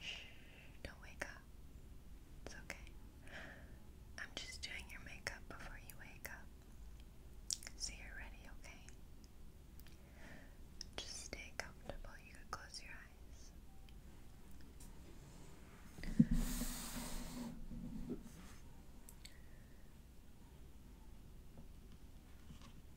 Shh, don't wake up. It's okay. I'm just doing your makeup before you wake up. So you're ready, okay? Just stay comfortable. You can close your eyes.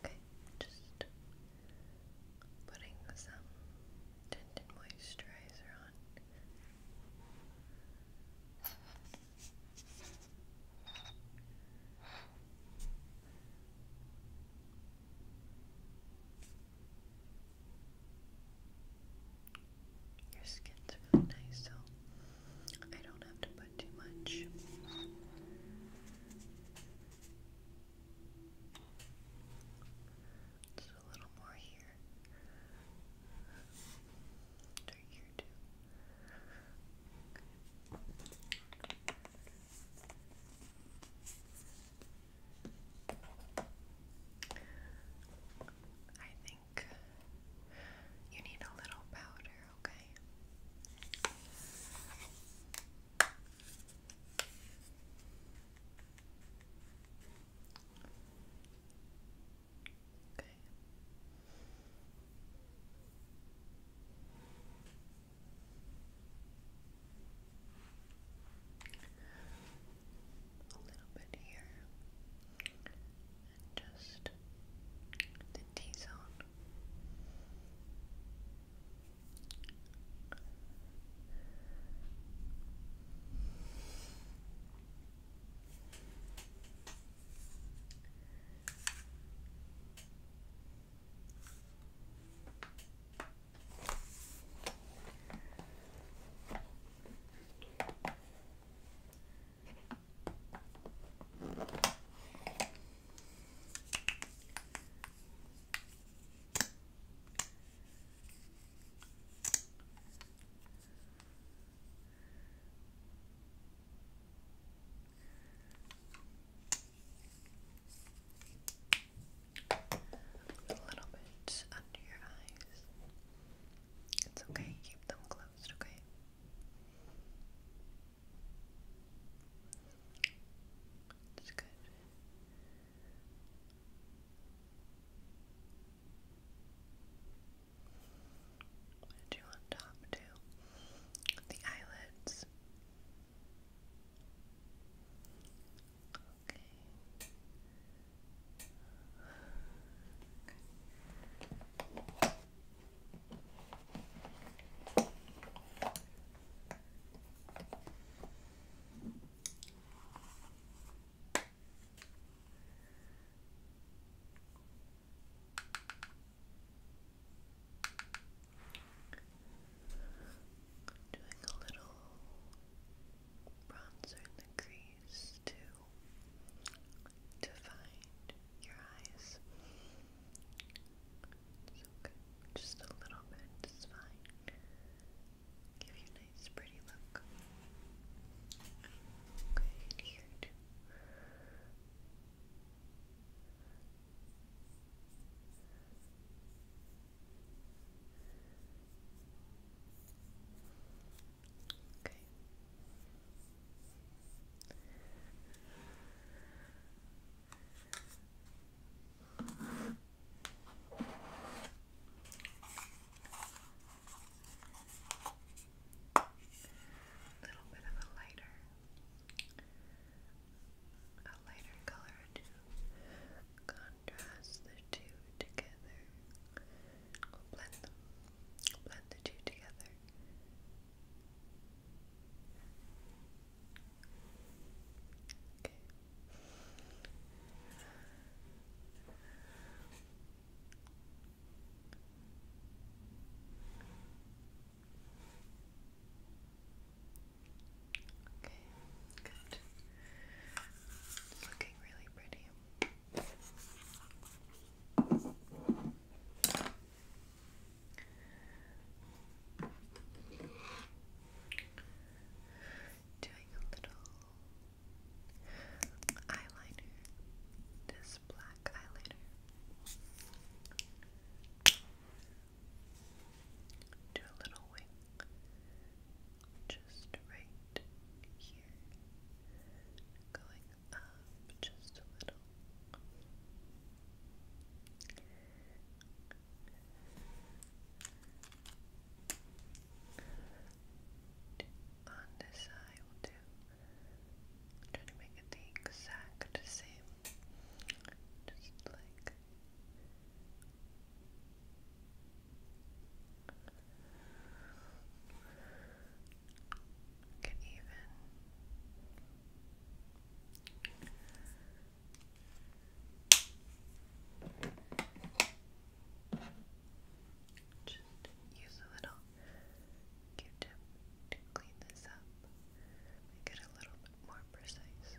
Okay, just putting some tint moisturizer on. Your skin's really nice, so I don't have to put too much. Just a little more here. Or here too. Okay. I you need a little powder, okay? Okay a little bit here, and just the T zone. A little bit under your eyes. It's okay, keep them closed, okay? It's good. Do on top too. The eyelids. Okay. Doing a little bronzer in the crease eyes to to your eyes. It's okay. Just a little bit, it's fine. Give you a nice pretty look. Okay, here Okay. A little bit of a lighter, a lighter color Contrast the two together. We'll blend them. Blend the two together. Okay. Okay. Good. Looking really pretty. Doing a little eyeliner, this black eyeliner. Do a little wing just right here, going up just a little. On this eye, we'll do try to make it the exact same, just like Get even. Just use a little Q-tip to clean this up, make it a little bit more precise.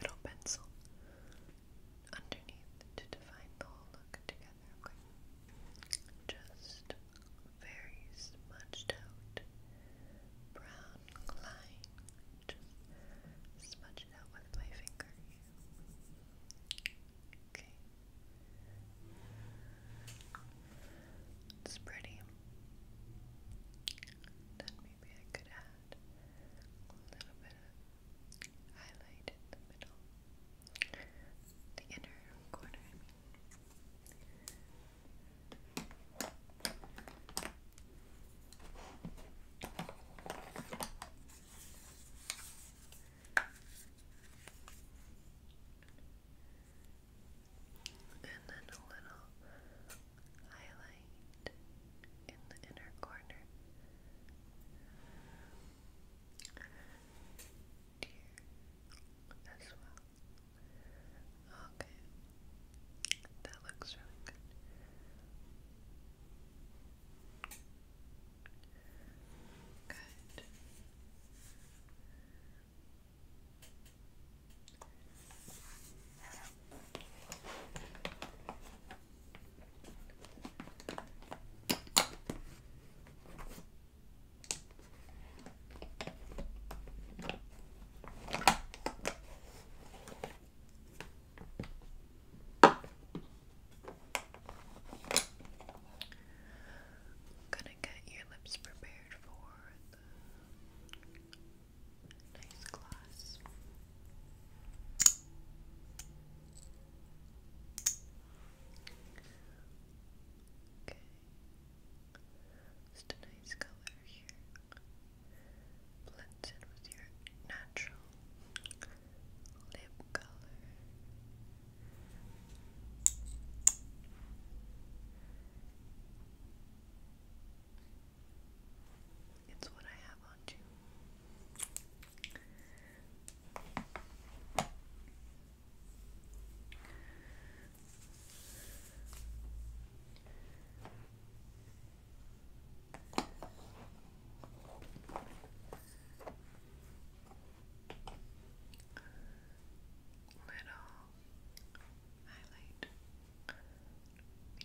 little pencil underneath to define the whole look together, Just very smudged out brown line. Just out with my finger. Okay. It's pretty. Then maybe I could add a little bit of highlight in the middle, the inner corner, and then a little highlight in the inner corner. Here as well. Okay. That looks really good. Good. I'm gonna get your lips prepared for Nice gloss. Okay. Just a nice color here. Blends with your natural lip color. It's what I have on too. Little highlight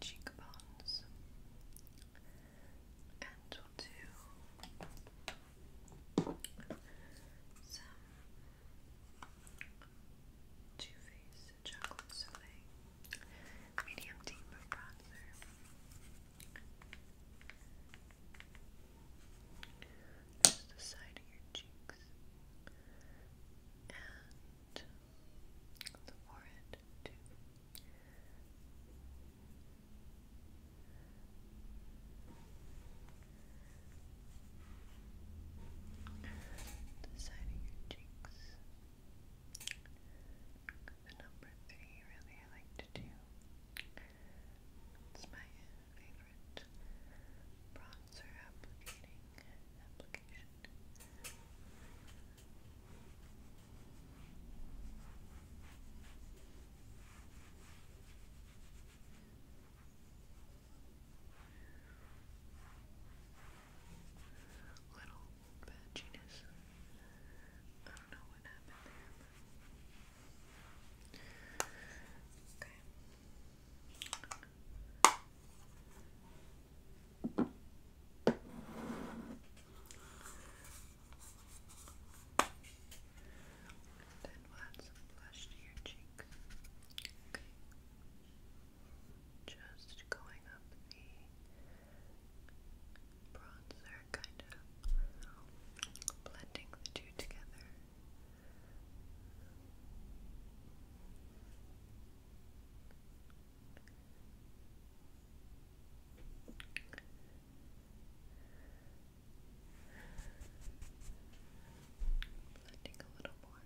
cheekbones, and we'll do some Too Faced Chocolate Soleil medium deep bronzer. Just the side of your cheeks and the forehead too. The side of your cheeks. The number three really I like to do. It's my favorite bronzer applicating application. Little patchiness. I don't know what happened there. But... Okay. Then we'll add some blush to your cheek. Okay. Just going up the bronzer, kind of blending the two together. Blending a little more.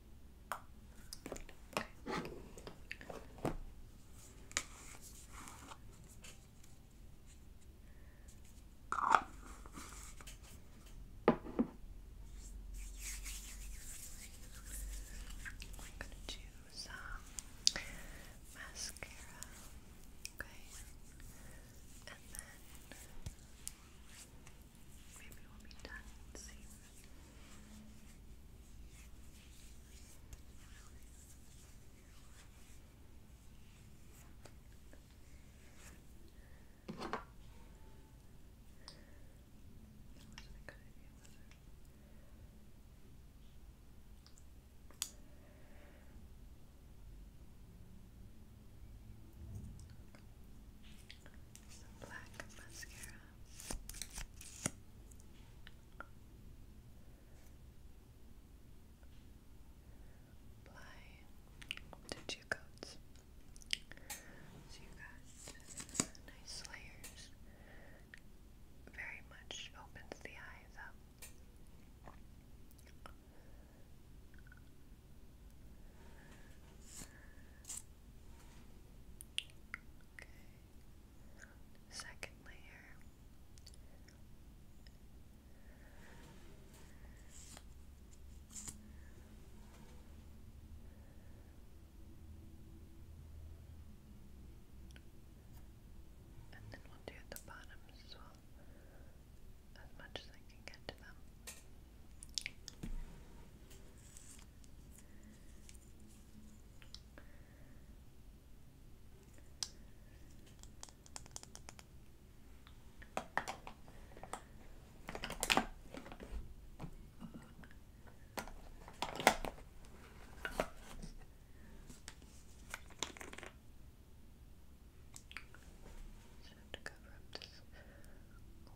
Okay. I'm going to do some mascara, okay, and then Maybe we'll be done soon. That was a good idea, black mascara. Apply two coats. So you got nice layers. Very much opens the eyes up. Okay. Second layer. And then we'll do the bottoms as well, as much as I can get to them. Just have to cover up this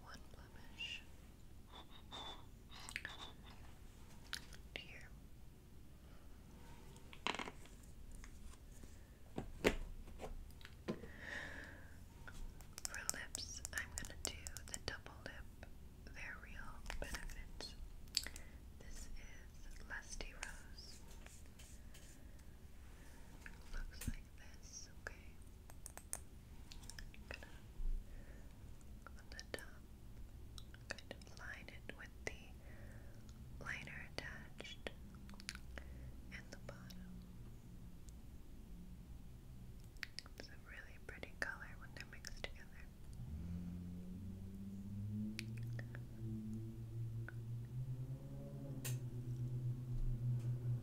one blemish. Here. For lips, I'm going to do the double lip, their real benefits. This is Lusty Rose. Looks like this, okay on the top, line it with the liner attached and the bottom. It's a really pretty color when they're mixed together.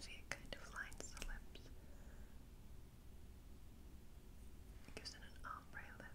See, it kind of lines the lips. It gives it an ombre lip.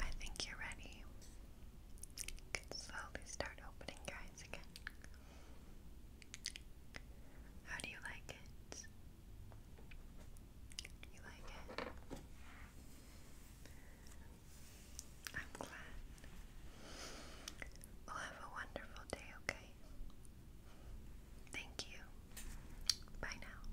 I think you're ready. You can slowly start opening eyes again. How do you like it? You like it? I'm glad. We'll have a wonderful day, okay? Thank you. Bye now.